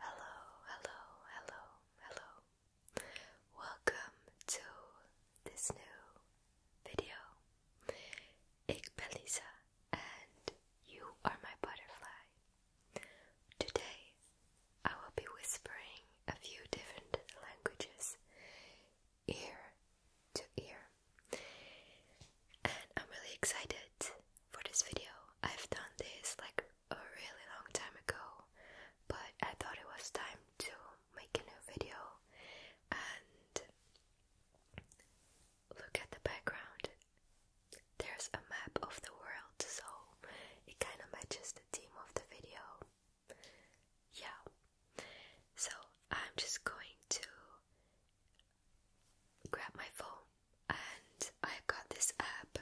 Hello, hello, hello, hello. Welcome to this new video. Ik ben Lisa and you are my butterfly. Today I will be whispering a few different languages ear to ear. And I'm really excited for this video. I've done this like a really long time ago, but I thought it was time to make a new video and look at the background. There's a map of the world, so it kind of matches the theme of the video. Yeah. So I'm just going to grab my phone and I've got this app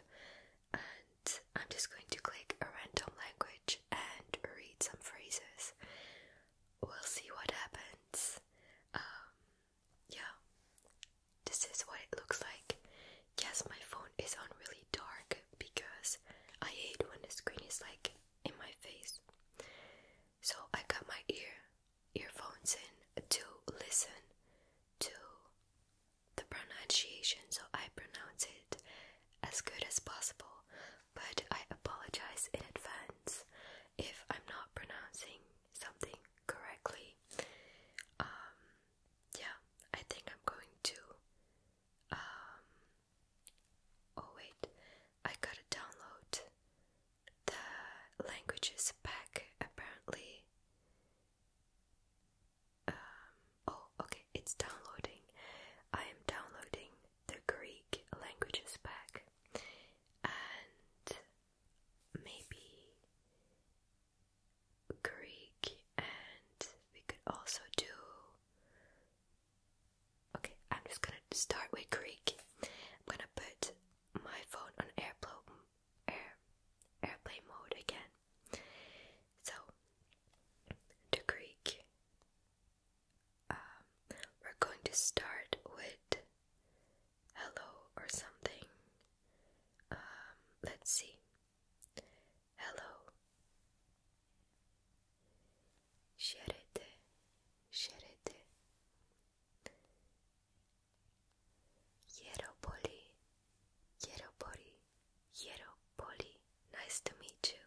and I'm just going to click a random language and read some phrases. We'll see what happens. Um, yeah, this is what it looks like. Yes, my phone is on really dark because I hate when the screen is like in my face. So I got my ear earphones in to listen to the pronunciation so I pronounce it as good as possible, but I apologize in advance if I'm not pronouncing something correctly. Um, yeah, I think I'm going to um, oh wait. I gotta download the languages pack apparently. Um, oh, okay, it's downloading. I am downloading the Greek languages pack, and maybe Greek, and we could also do Okay, I'm just gonna start with Greek. I'm gonna put my phone on airplane air, airplane mode again. So the Greek. Um, we're going to start with hello or something. Um, let's see. Hello şeridi şeridi Yeropoli Yeropoli Yeropoli nice to meet you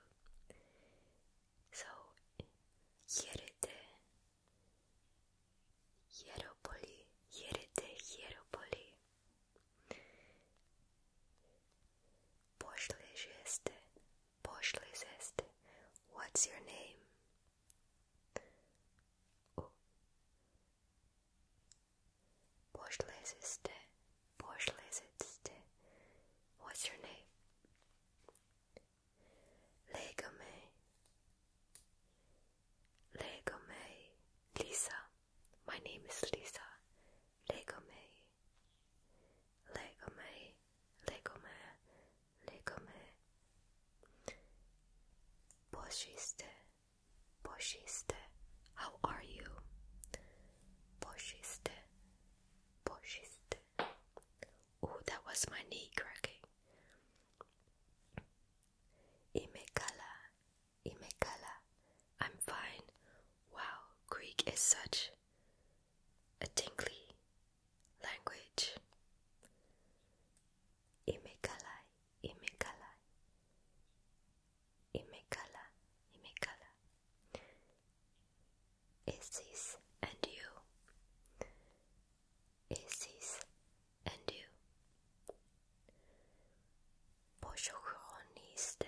so yeride Yeropoli yeride Yeropoli Boşlu jeste Boşlu sesti. What's your name? U. Boşlu sesti. Boşlu What's your name? Legame. Legame. Lisa. My name is Lisa. Legame. Legame legome, legome, boşiste, boşiste, how are you? Boşiste, boşiste. Oh, that was my knee cracking. Imekala, imekala, I'm fine. Wow, Greek is such a tinkly language. Imekalai, imekalai, imekala, imekala. Isis and you. Isis and you. Poşohroniste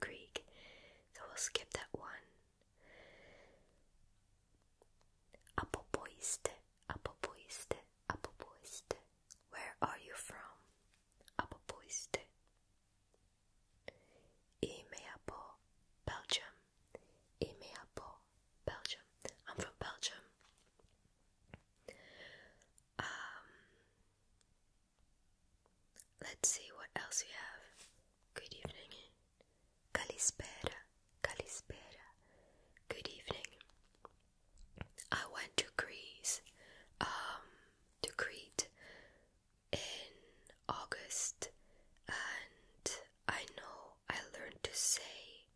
Creek, so we'll skip that one. Apopoiste, Apopoiste, Apopoiste. Where are you from? Apopoiste. Imeapo, Belgium. Imeapo, Belgium. I'm from Belgium. Um, Let's see what else we have. Good evening. Kalispera, Kalispera. Good evening. I went to Greece, um, to Crete in August, and I know I learned to say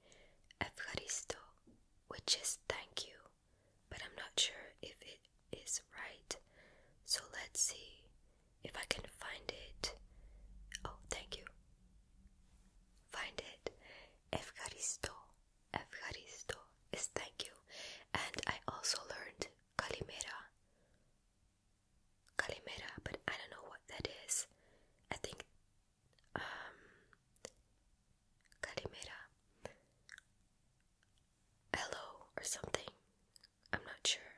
Evharisto, which is thank you but I'm not sure if it is right. So let's see if I can find it. Oh, thank you. Find it. Evcharisto. Evcharisto is thank you. And I also learned Kalimera. Kalimera, but I don't know what that is. I think um Kalimera hello or something. I'm not sure.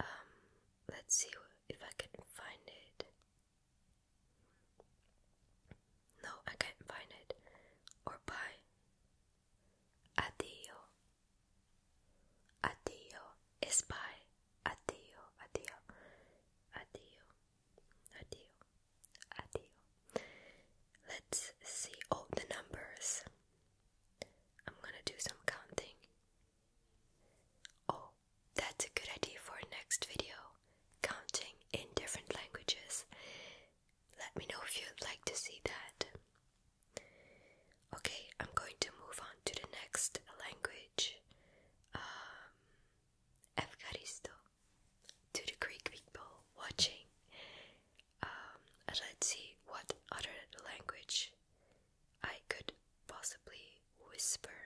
Um, let's see if I can find it. No, I can't find it. Or bye. Addio. Addio is bye. Addio, addio, addio, addio. Addio. Let's see all oh, the numbers. I'm gonna do some counting. Oh, that's a good idea for next video. Counting in different languages. Let me know if you'd like to see that. Okay, I'm going to move on to the next language. Um, to the Greek people watching. Um, let's see what other language I could possibly whisper.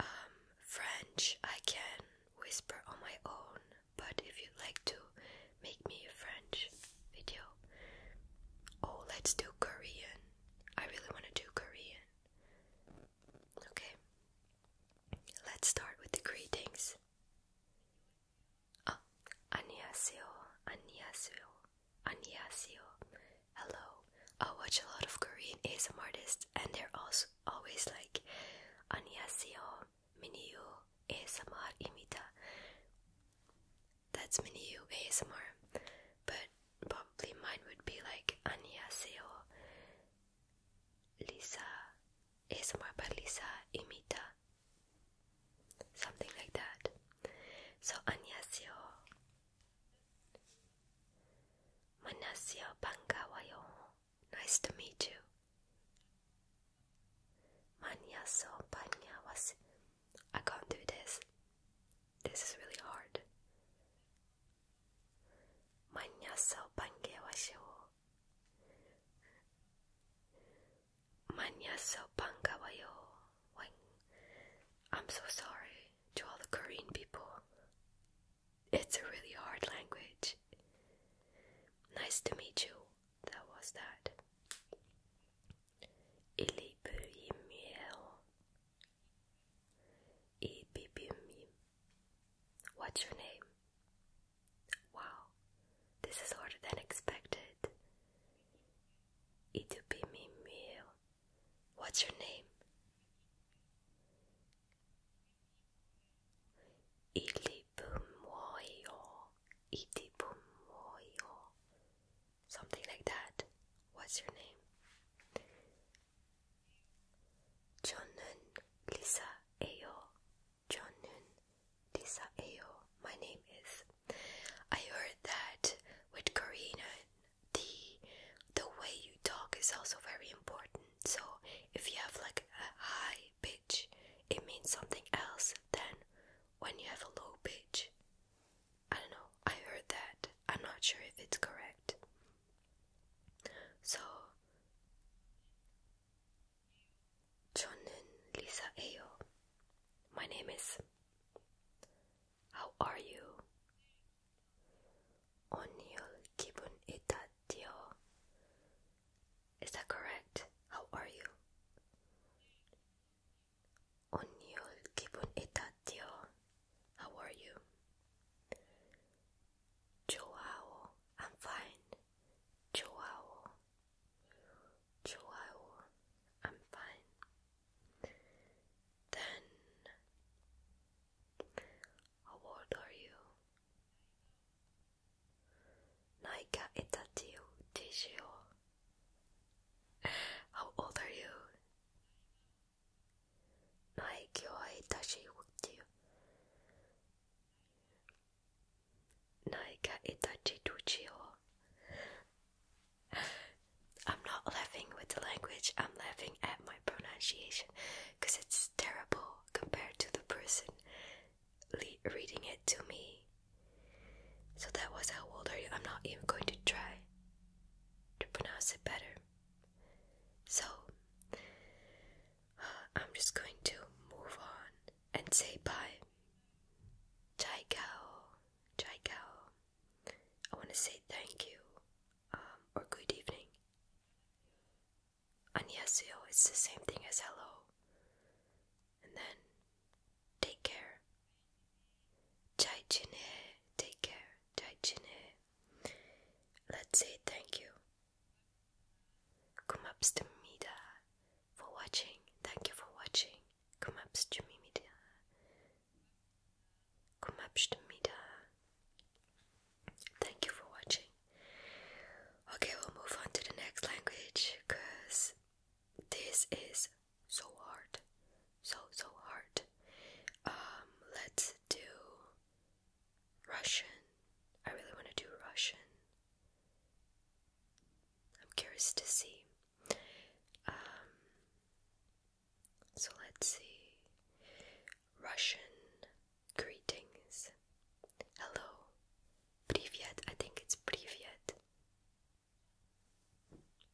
Um, French I can whisper on my own, but if you'd like to make me a French video, oh, let's do Korean. I really want to do Korean. Okay, Let's start with the greetings. Oh, 안녕하세요, 안녕하세요, 안녕하세요. Hello. I watch a lot of Korean ASMR artists, and they're also always like 안녕하세요, ASMR imita. That's 민유 ASMR, but probably mine would be like 안녕하세요, Lisa ASMR by Lisa Imita. Something like that. So, 안녕하세요. 만나세요. 반가워요. Nice to meet you. 만나서 반가웠어요. I can't do this. This is really hard. 만나서 반가워요. Manyasopang kawayo. I'm so sorry to all the Korean people. It's a really hard language. Nice to meet you. That was that. Ili bim What's your name? Wow, this is harder than expected. It'll be me, meal. What's your name? Something like that. What's your name? Johnnun Lisa Ayo. Johnnun Lisa Ayo. My name is. I heard that with Karina, the the way you talk is also very important. So if you have like a high pitch, it means something else than when you have a low pitch. I don't know. I heard that. I'm not sure if it's correct. So 저는 리사예요. My name is. How are you? 오늘 기분이 따뜻해요. Is that correct? How are you? 오늘 기분이 따뜻해요. How are you? Chihuahua. I'm fine. Chihuahua. Chihuahua. I'm fine. Then, how old are you? Naika itatiu tishio. How old are you? 나의 기와에 다시 웃지요. 나에게 이다지 두지요. I'm not laughing with the language, I'm laughing at my pronunciation because it's terrible compared to the person reading it to me. So that was how old are you? I'm not even going to try to pronounce it better. So, I'm just going to move on and say bye. Chai Kao, Chai Kao. I want to say thank you um, or good evening. Annyeonghaseyo, it's the same thing as hello. And then, take care. Chai Jin take care. Chai Jin Let's say thank you. Kumapstumida for watching. Thank you for watching. Kumapstumida. Kumapstumida. Thank you for watching. Okay, we'll move on to the next language because this is so hard. So, so hard. Um, let's do Russian. I really want to do Russian. I'm curious to see. Um, so let's see. Russian greetings. Hello. Privyet. I think it's privyet.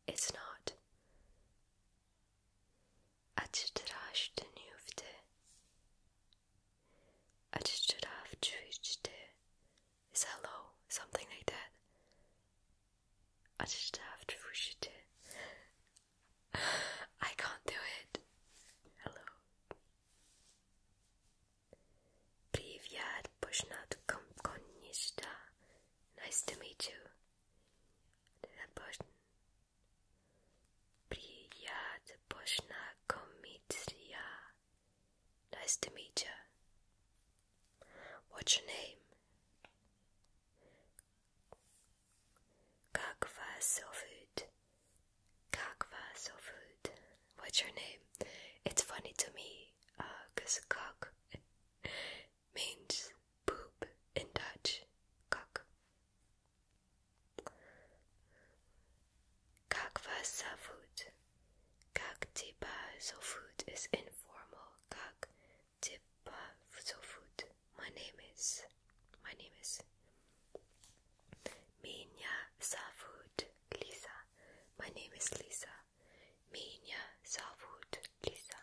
It's not. I I just have to it. açtıraştı nüfte açtıraf çüçte is hello something like that açtıraf çüçte I can't do it hello Privyat Nice to meet you. Priyad Poshna Komitsria. Nice to meet you. What's your name? Kakva вас зовут? Как вас зовут? What's your name? It's funny to me, uh, cause как means poop in Dutch. Kak. Kak was food. Kak tipa so food is informal. Kak tipa so food. My name is. My name is. Minja Savut Lisa. My name is Lisa. Minja Savut Lisa.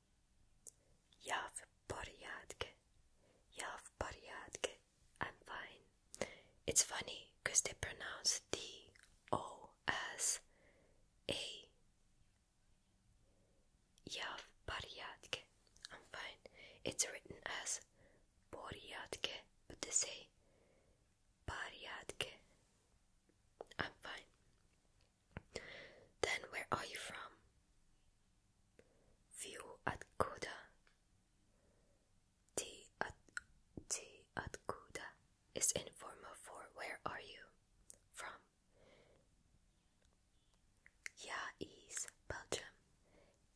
Ja w I'm fine. It's funny because they pronounce the O as A. I'm fine. It's written as poryadke, but they say poryadke. I'm fine. Then where are you from? View at Kuda. T at T at Kuda is informal for where are you from? Ja is Belgium.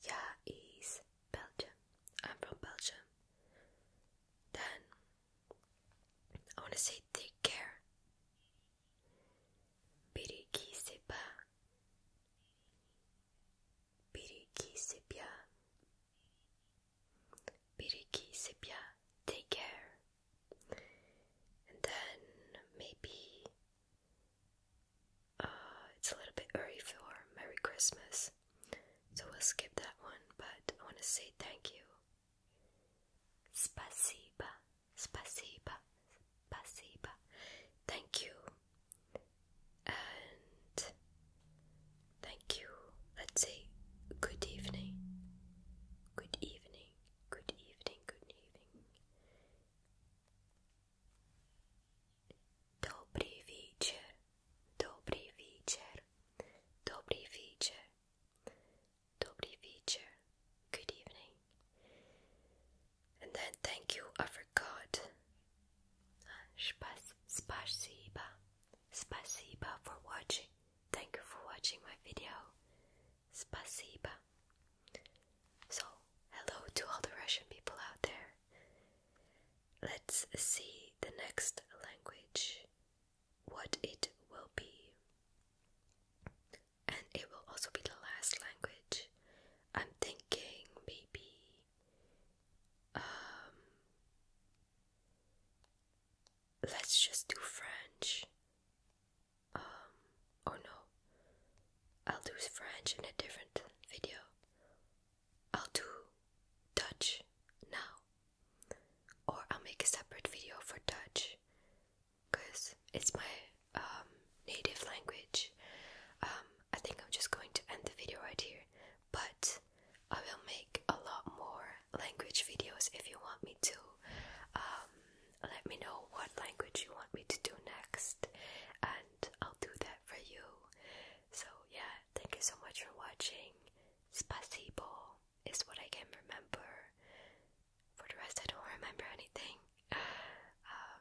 Ja is Belgium. I'm from Belgium. Then I want to say take care. Biri ki sepa. Biri ki sepya. Take care. And then maybe uh, it's a little bit early for Merry Christmas. So we'll skip that one, but I want to say thank you Спасибо, спасибо, спасибо. Thank you. And thank you. Let's say good evening. Good evening. Good evening. Good evening. Добрый вечер. Добрый вечер. Добрый вечер. Dobry Feature, good evening. And then thank you, I forgot. Spas spasiba. Spasiba for watching. Thank you for watching my video. Spasiba. So, hello to all the Russian people out there. Let's see the next language what it will be. And it will also be the last language. I'm thinking maybe um, let's just do French. Um, or no. I'll do French in a different video. I'll do Dutch now or I'll make a separate video for Dutch because it's my um, native language. Um, I think I'm just going to end the video right here, but I will make a lot more language videos if you want me to. Um, let me know what language you want me to do next, and I'll do that for you. So, yeah, thank you so much for watching. Spasibo is what I can remember. For the rest, I don't remember anything. Um,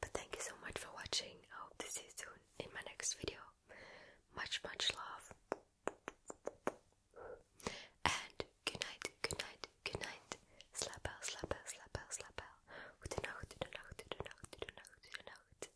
but thank you so much for watching. I hope to see you soon in my next video. Much, much love. And good night, good night, good night. Slap out, slap out, slap out, Good night, good night, good night, good night, good night.